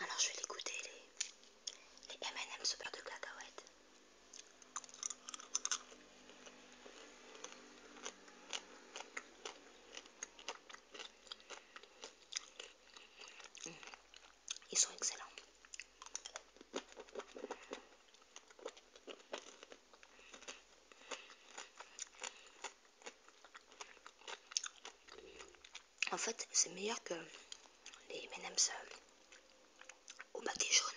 Alors je vais l'écouter, les, M&M's de cacahuètes. Mmh. Ils sont excellents. En fait, c'est meilleur que les M&M's euh, au bâti jaune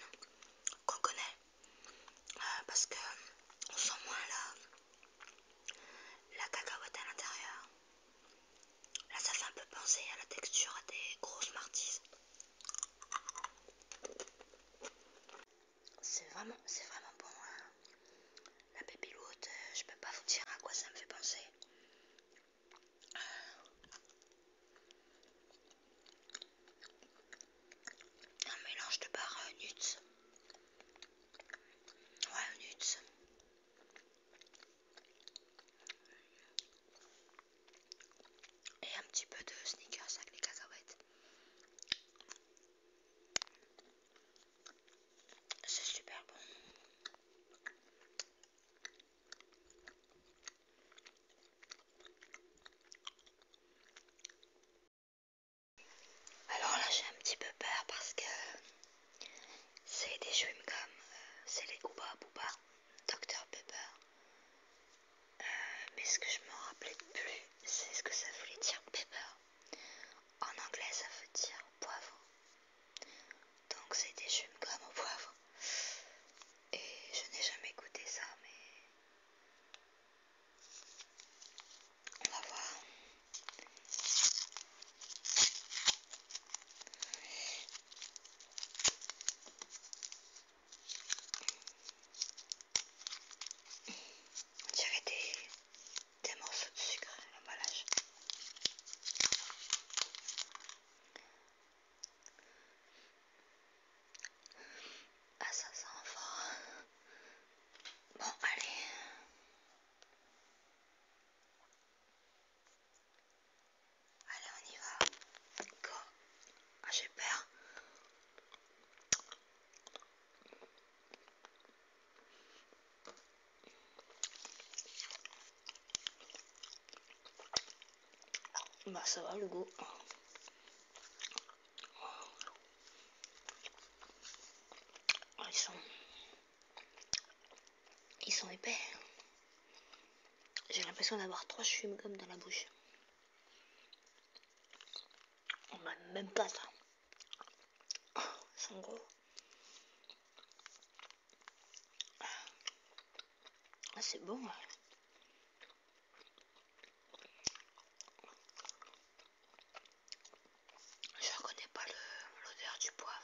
qu'on connaît. Euh, parce que on sent moins la, la cacahuète à l'intérieur. Là, ça fait un peu penser à la texture des grosses martises. C'est vraiment, c'est vraiment bon. Hein la baby-loot, euh, je peux pas vous dire à quoi ça me fait penser. Euh, un mélange de barre euh, nuts. Ouais, nuts. Et un petit peu de sneakers avec les cacahuètes. C'est super bon. Alors là j'ai un petit peu peur parce que c'est des jeux comme c'est les Ouba Booba, Dr Pepper. Euh, mais ce que je me rappelais plus, c'est ce que ça voulait dire Pepper. En anglais, ça veut dire poivre. Donc c'est des chewing comme au poivre. Et je n'ai jamais goûté ça, mais on va voir. On des des morceaux de sucre à l'emballage. Ah ça sent fort. Hein. Bon allez. Allez on y va. Go. Ah j'ai peur. Bah ça va le goût. Ah, ils sont... Ils sont épais. J'ai l'impression d'avoir trois chewing comme dans la bouche. On m'a même pas ça c'est bon. Je reconnais pas l'odeur du poivre.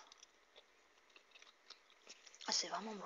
c'est vraiment bon.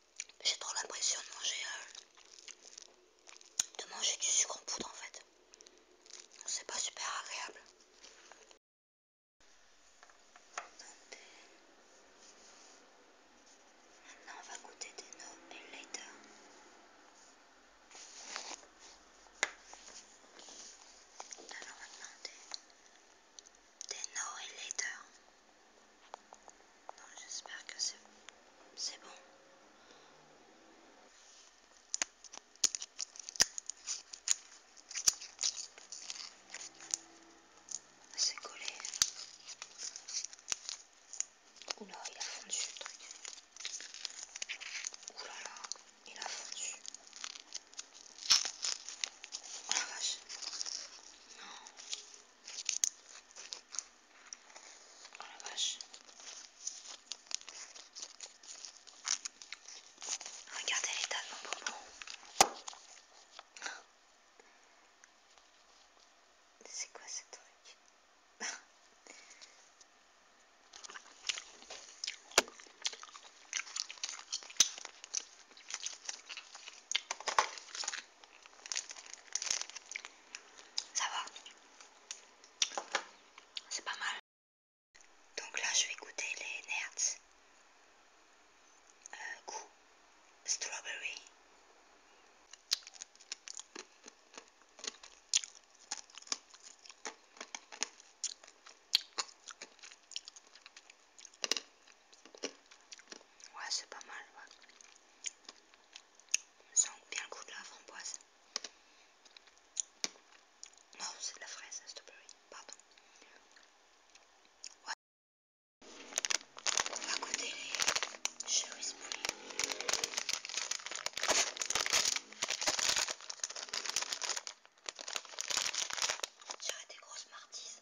J'ai trop l'impression de manger euh, de manger du sucre en poudre en fait. C'est pas super agréable. Maintenant on va goûter des no et later. Alors on des no et later j'espère que c'est bon. Ah, c'est collé. Oula, il a fondu le truc. Oula, il a fondu. Oh la vache. Non. Oh Regardez l'état de mon bonbon. C'est quoi ce truc ça va. C'est pas mal. Donc là, je vais goûter les nerds. Euh, goûts strawberry. Ouais, c'est pas mal. Ça sent bien le goût de la framboise. Non, c'est de la fraise, strawberry, pardon. Ouais. On va goûter les cherry Ça J'aurais des grosses martises.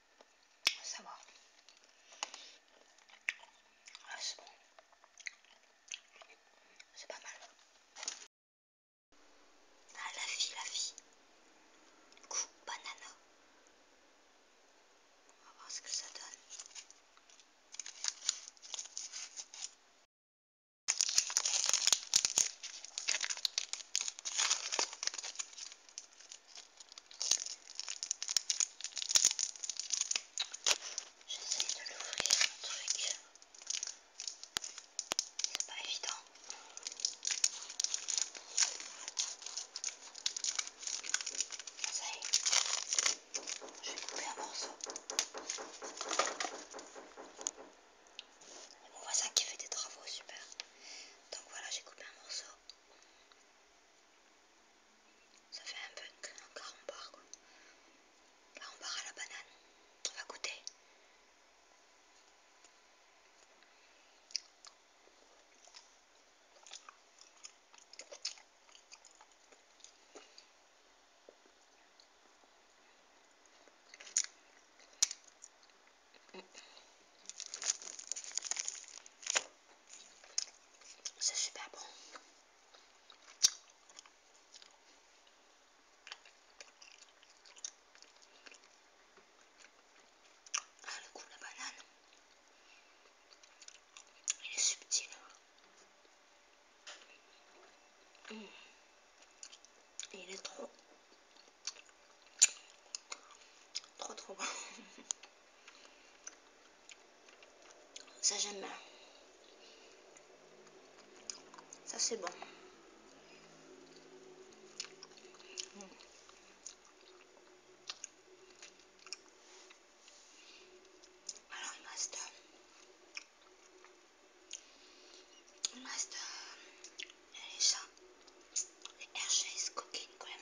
Ça va. Ah, c'est bon. C'est pas mal. Ah, la fille, la fille. Coup banana. On va voir ce que ça donne. J'essaye de l'ouvrir un truc. C'est pas évident. Ça y est, je vais un morceau. On voit ça qui fait des travaux, super. Donc voilà, j'ai coupé un morceau. Ça fait un peu un carambar quoi. Carambar à la banane. On va goûter. C'est super bon. Ah, le goût de la banane. Il est subtil. Hein. Mm. Il est trop Trop trop bon. Ça j'aime bien. Ça c'est bon. Alors il reste... Il reste... Les quand même.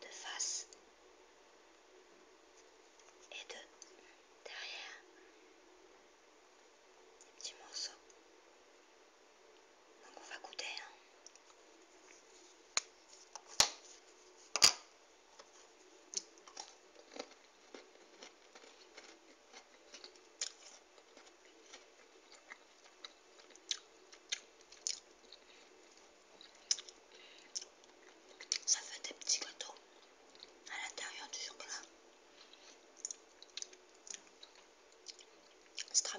de face et de derrière des petits morceaux. Donc on va goûter. Hein. Ça fait des petits gâteaux à l'intérieur du chocolat. C'est très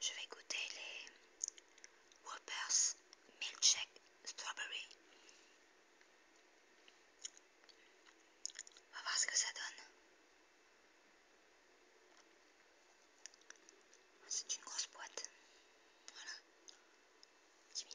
je vais goûter les Whoppers Milkshake Strawberry. On va voir ce que ça donne. C'est une grosse boîte. Voilà. Jimmy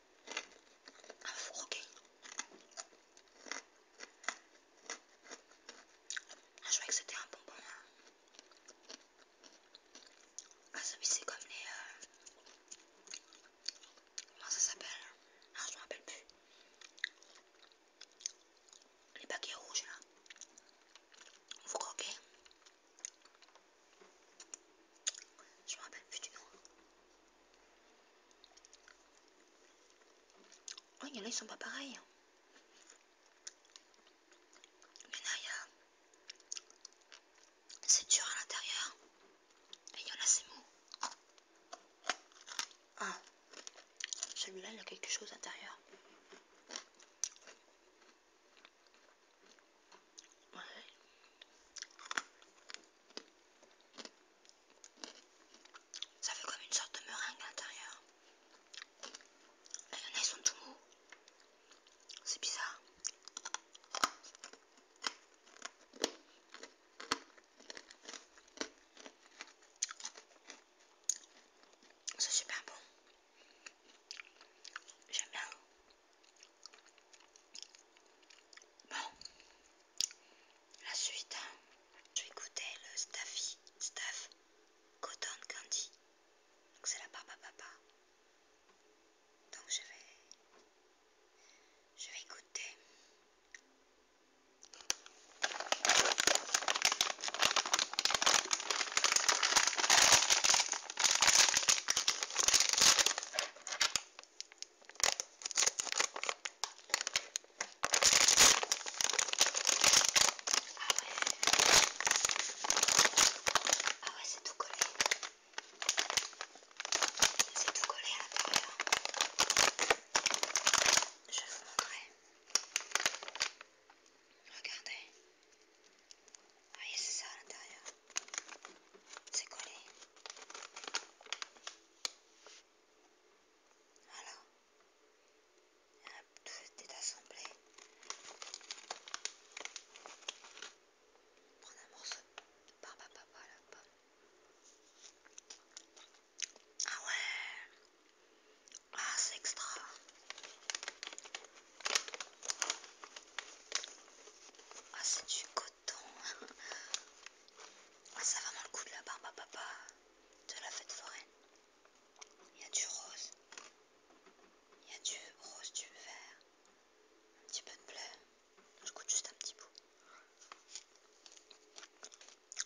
à four, ah, je croyais que c'était un bonbon. Ah Ah, celui c'est comme les... Euh, comment ça s'appelle Ah, je me rappelle plus. Les paquets rouges là. Vous ok. Je me rappelle plus du nom. Oh, il y en a, ils sont pas pareils. Mais là, en il y a... C'est dur à l'intérieur. Et il y en a, c'est mou. Ah, celui-là, il a quelque chose à l'intérieur. Ça fait comme une sorte de meringue à l'intérieur. Les y en sont tout mous. C'est bizarre. C'est super bon. J'aime bien. Bon, la suite, je hein. vais écouter le Staffy Staff Cotton Candy. Donc c'est la papa papa. Donc je vais je vais goûter. Ah ouais, c'est tout collé. C'est tout collé à l'intérieur. Je vais vous montrer. Regardez. Vous ah, c'est ça à l'intérieur. C'est collé. Voilà. Tout est assemblé. On prend un morceau de barbe à papa Ah ouais! Ah, c'est extra! Ah, c'est du côté ah, ça va dans le coup de la barbe à papa de la fête foraine. Il y a du rose, il y a du rose, du vert, un petit peu de bleu. Je goûte juste un petit bout.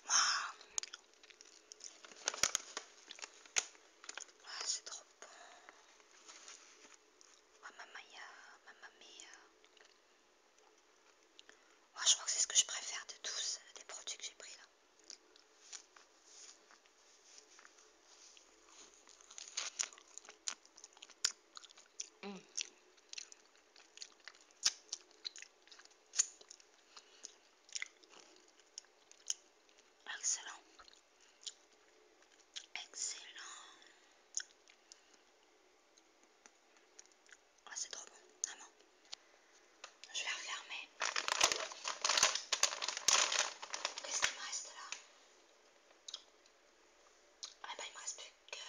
Waouh! Ah, c'est trop bon! Mamaya, Mamma ma oh, je crois que c'est ce que je préfère de tous les euh, produits que j'ai pris là. Mmh. Excellent. Excellent. Ah, c'est trop bon, vraiment. Je vais refermer. Qu'est-ce qu'il me reste là Ah, bah, il me reste plus que.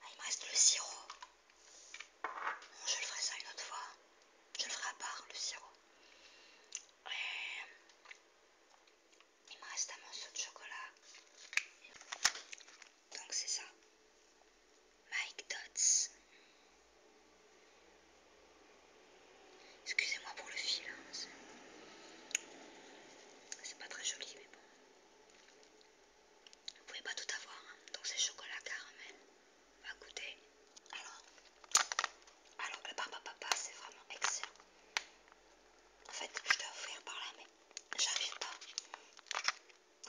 Ah, il me reste le sirop. je le ferai ça une autre fois. Je le ferai à part le sirop. Et... Il me reste un morceau de chocolat. Donc c'est ça. Mike Dots. Excusez-moi pour le fil. Hein, c'est pas très joli, mais bon. Vous pouvez pas tout avoir. Hein. Donc c'est chocolat caramel. va goûter. Alors, alors le papa papa, c'est vraiment excellent. En fait, je dois ouvrir par là, mais j'arrive pas.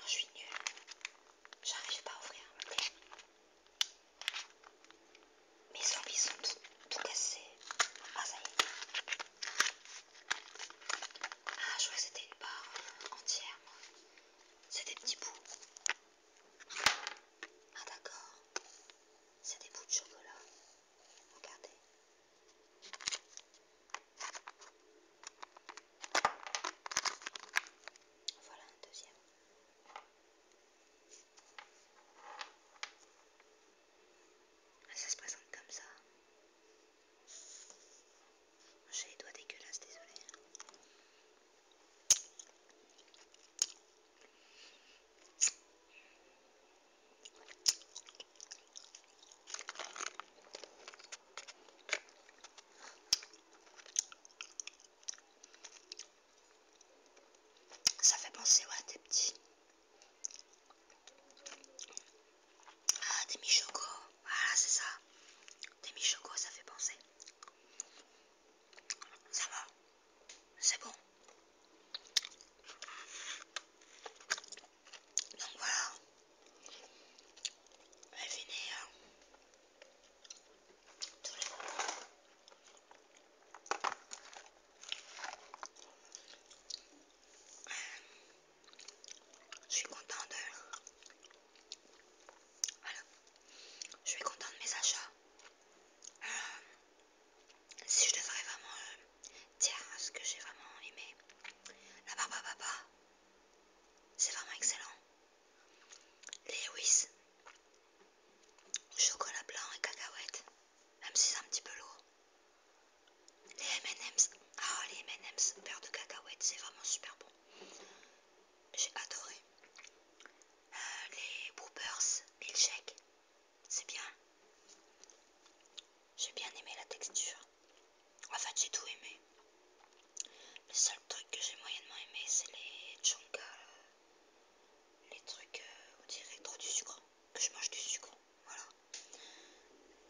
Je suis nulle. J'arrive pas à ouvrir. Mes zombies sont tout, cassés. Ah, ça y est. Ah, je vois que c'était une barre entière, C'est des petits bouts. Ah, d'accord. C'est des bouts de chocolat. Regardez. Voilà un deuxième. Ça se présente comme ça. J'ai les doigts dégueulasses, désolé. Ça fait penser ouais, à des petits. Ah, des choco Voilà, c'est ça. Des mi-choco ça fait penser. Ça va. C'est bon. Donc voilà. Je a tous les Je suis contente. Voilà. Je suis contente de mes achats. Euh, si je devrais vraiment euh, dire ce que j'ai vraiment aimé, la barbe papa, c'est vraiment excellent. Les whis, chocolat blanc et cacahuètes, même si c'est un petit peu lourd. Les M&M's, ah les M&M's, beurre de cacahuètes, c'est vraiment super bon. J'ai adoré. Euh, les il milkshake, c'est bien. J'ai bien aimé la texture. En fait, j'ai tout aimé. Le seul truc que j'ai moyennement aimé, c'est les chonka, les trucs, euh, on dirait trop du sucre, que je mange du sucre, voilà.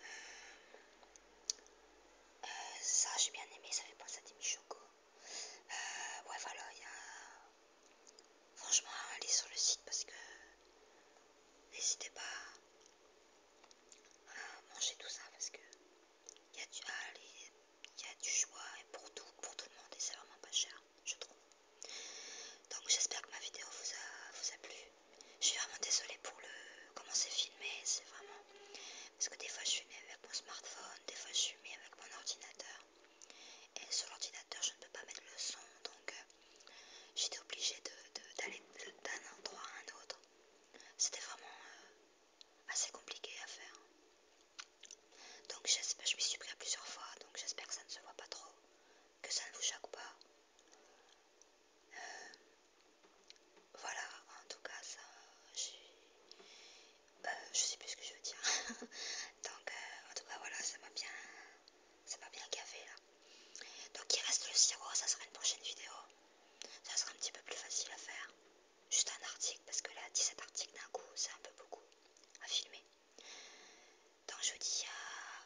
Euh, euh, ça, j'ai bien aimé, ça fait penser à des Choco ouais, voilà, il y a Franchement, allez sur le site parce que n'hésitez pas à manger tout ça parce que il y, a du choix et pour tout, pour tout le monde et c'est vraiment pas cher, je trouve. Donc j'espère que ma vidéo vous a, vous a plu. Je suis vraiment désolée pour le comment c'est filmé, c'est vraiment parce que des fois je filme avec mon smartphone, des fois je filme avec mon ordinateur. Et sur l'ordinateur, je ne peux pas mettre le son, donc euh, j'étais obligée d'aller d'un endroit à un autre. C'était vraiment euh, assez compliqué à faire. Donc j'espère, je m'y suis pris à plusieurs fois, donc j'espère que ça ne se voit pas trop, que ça ne vous choque pas. Euh, voilà, en tout cas, ça, bah, je sais plus ce que je veux dire. Donc, euh, en tout cas, voilà, ça m'a bien, ça m'a bien gavé là. Donc, il reste le sirop, ça sera une prochaine vidéo. Ça sera un petit peu plus facile à faire. Juste un article, parce que là, 17 articles d'un coup, c'est un peu beaucoup à filmer. Donc, je vous dis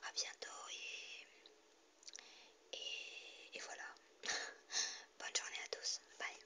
à, bientôt et, et voilà. Bonne journée à tous. Bye.